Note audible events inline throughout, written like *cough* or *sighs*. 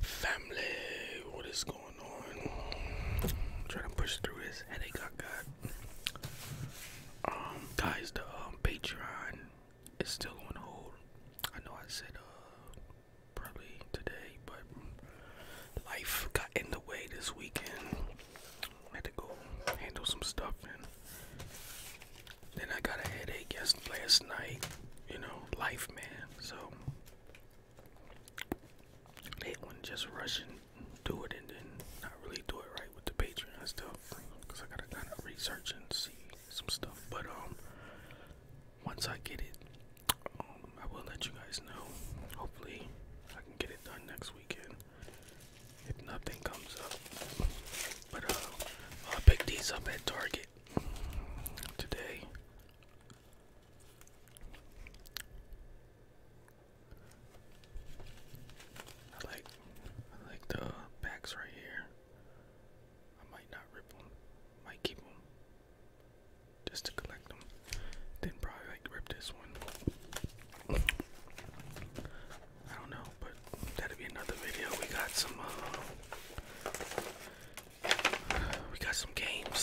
Family, what is going on? trying to push through this headache guys, um, the um, Patreon is still on hold. I know I said uh, probably today, but life got in the way this weekend. had to go handle some stuff and then I got a headache yesterday last night, you know, life man. So they wouldn't just rush and do it and then not really do it right with the Patreon stuff. Cause I gotta kinda research and see some stuff. But um once I get it, um, I will let you guys know. Hopefully I can get it done next weekend. If nothing comes up. But uh, I picked these up at Target it today. I like I like the backs right here. I might not rip them. Might keep them just to collect them. Then probably like rip this one. I don't know, but that'll be another video. We got some, uh, we got some games.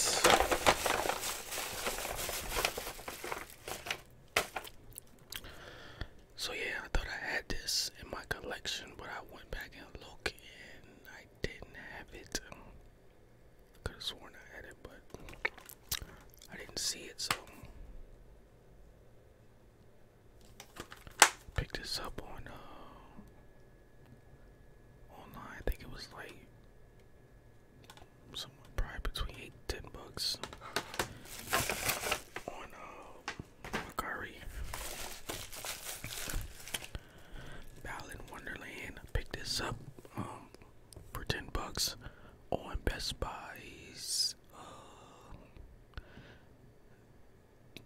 So yeah, I thought I had this in my collection, but I went back and looked, and I didn't have it. Could have sworn I had it, but I didn't see it, so Picked this up on uh, online. I think it was like somewhere probably between eight ten bucks on uh Macari. Ballin Wonderland. Picked this up um, for ten bucks on Best Buy's uh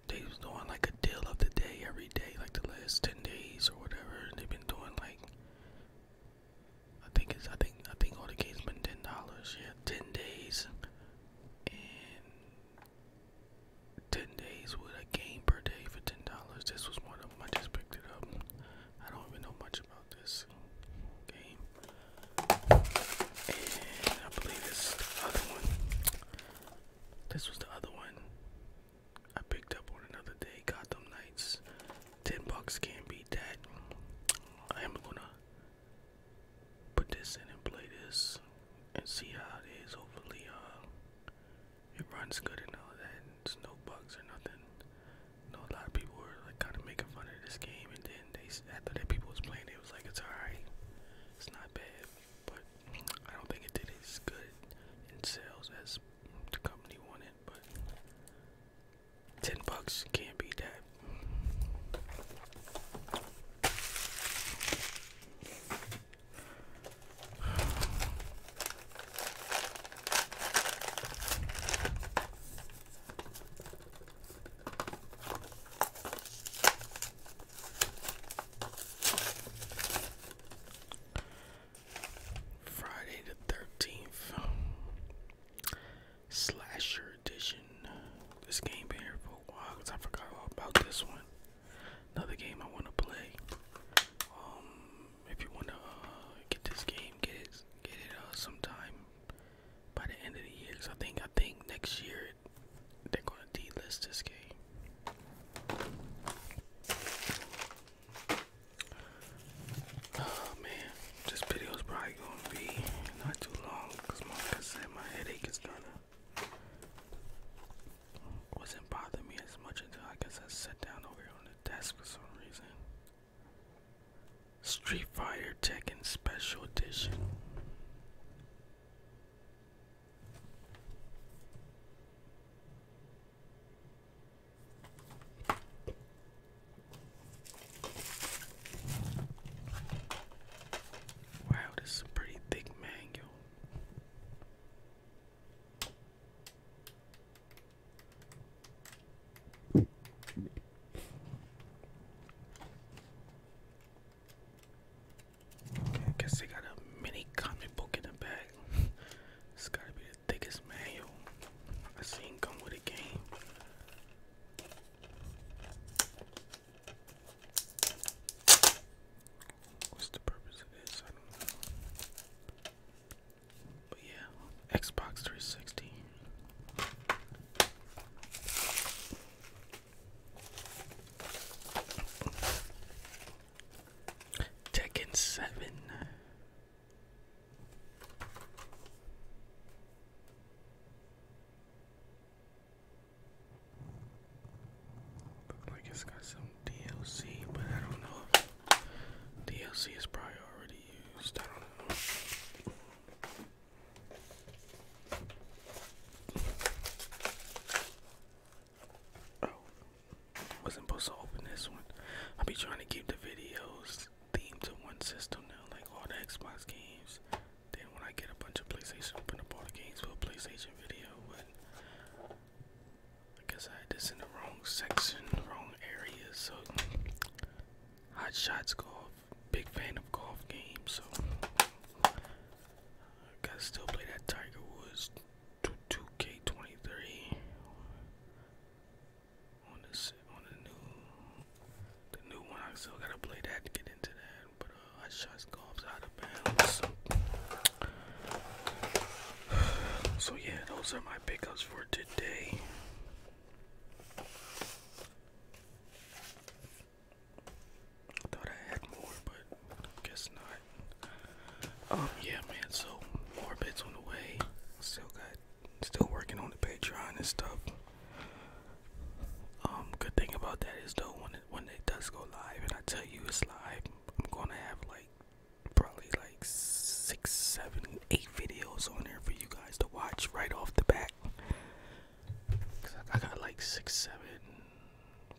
they was doing like a deal of the day every day, like the last ten days or whatever. They've been doing like I think it's I think I think all the games been ten dollars. Yeah, ten days and ten days with a game per day for ten dollars. This was one of my just picked it up. I don't even know much about this game. And I believe this other one. This was the other one I picked up on another day. Gotham Knights. 10 bucks can't beat that. I am gonna put this in and play this and see how it is. Hopefully, uh, it runs good and all that. There's no bugs or nothing. know, a lot of people like kind of making fun of this game and after that people was playing, it was like it's alright, it's not bad, but I don't think it did as good in sales as the company wanted. But ten bucks can't be that. Friday the 13th Slasher Edition. This game been here for a while because I forgot all about this one. Another game I want to play. Um, if you want to uh, get this game, get it, get it uh, sometime by the end of the year. Cause I think I think next year they're gonna delist this game. Oh man, this video is probably gonna be not too long because like I said my headache is gonna wasn't bothering me as much until I guess I sat down over here on the desk for some reason. Street Fighter Tekken Special Edition. Wow, this is a pretty thick manual. I guess they got a mini comic book in the back. *laughs* it gotta be the thickest manual I seen come with a game. What's the purpose of this? I don't know yeah, Xbox 360. Tekken 7. Looks like it's got some DLC, but I don't know if DLC is probably already used. Oh, wasn't supposed to open this one. I'll be trying to keep the videos themed to one system like all the Xbox games. Then when I get a bunch of PlayStation, open up all the games for PlayStation video. But I guess I had this in the wrong section, wrong area, so Hot Shots Golf. Big fan of golf games, so I gotta still play that Tiger Woods 2K23 on this on the new the new one. I still gotta play that to get into that, but uh, Hot Shots Golf's out of bounds. *sighs* So yeah, those are my pickups for today thought I had more, but guess not. Um, yeah, man. So more bits on the way. Still got, still working on the Patreon and stuff. Um, good thing about that is though, when when it does go live, and I tell you it's live, I'm gonna have like probably six, seven, eight videos on there for you guys to watch right off the bat. I got like six, seven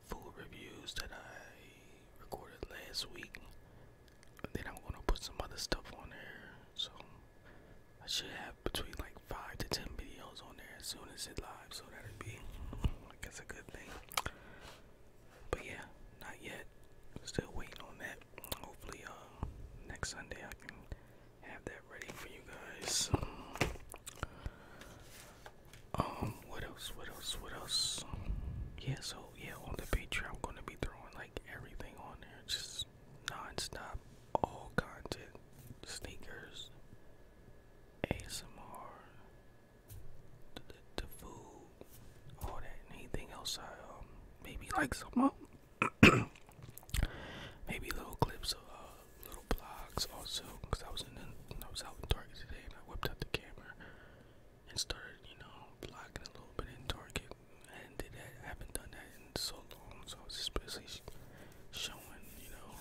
food reviews that I recorded last week. then I'm gonna put some other stuff on there. So I should have between like five to ten videos on there as soon as it live. So that'd be, I guess, a good thing. But yeah, not yet but still waiting on that. Hopefully, um, next Sunday I can have that ready for you guys. Um, what else? What else? What else? Yeah, so yeah, on the Patreon, I'm gonna be throwing like everything on there, just non-stop, all content, sneakers, ASMR, the food, all that. Anything else I um maybe like some more. Um, *clears throat* maybe little clips of uh, little blogs also because I was in the, I was out in Target today and I whipped out the camera and started you know blogging a little bit in Target and did that. I haven't done that in so long, so I was just basically showing you know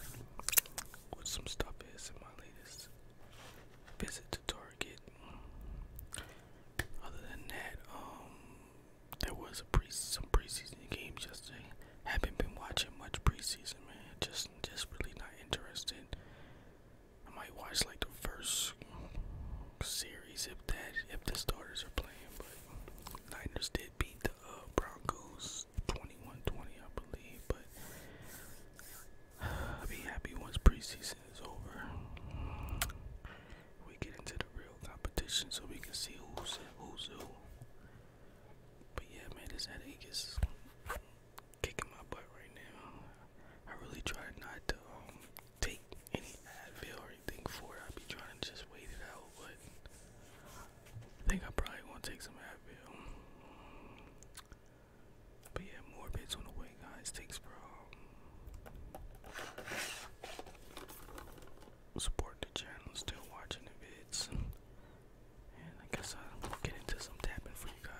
what some stuff is in my latest visit to Target. Other than that, um, there was a pre some preseason games yesterday. Haven't been watching much preseason, man. Just just really not interested. I might watch like the first series if that if the starters are playing, but Niners did beat the uh, Broncos 21-20, I believe. But *sighs* I'll be happy once preseason season over, we get into the real competition so we can see who's who's who. But yeah, man, this headache is kicking my butt right now. I really try not to um, take any Advil or anything for it. I be trying to just wait it out, but I think I probably want to take some Advil. But yeah, more bids on the way, guys. Thanks for um, support the channel, still watching the vids. And I guess I'll get into some tapping for you guys.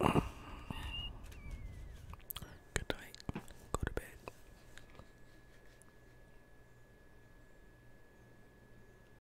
All right. *clears throat* Good night. Go to bed.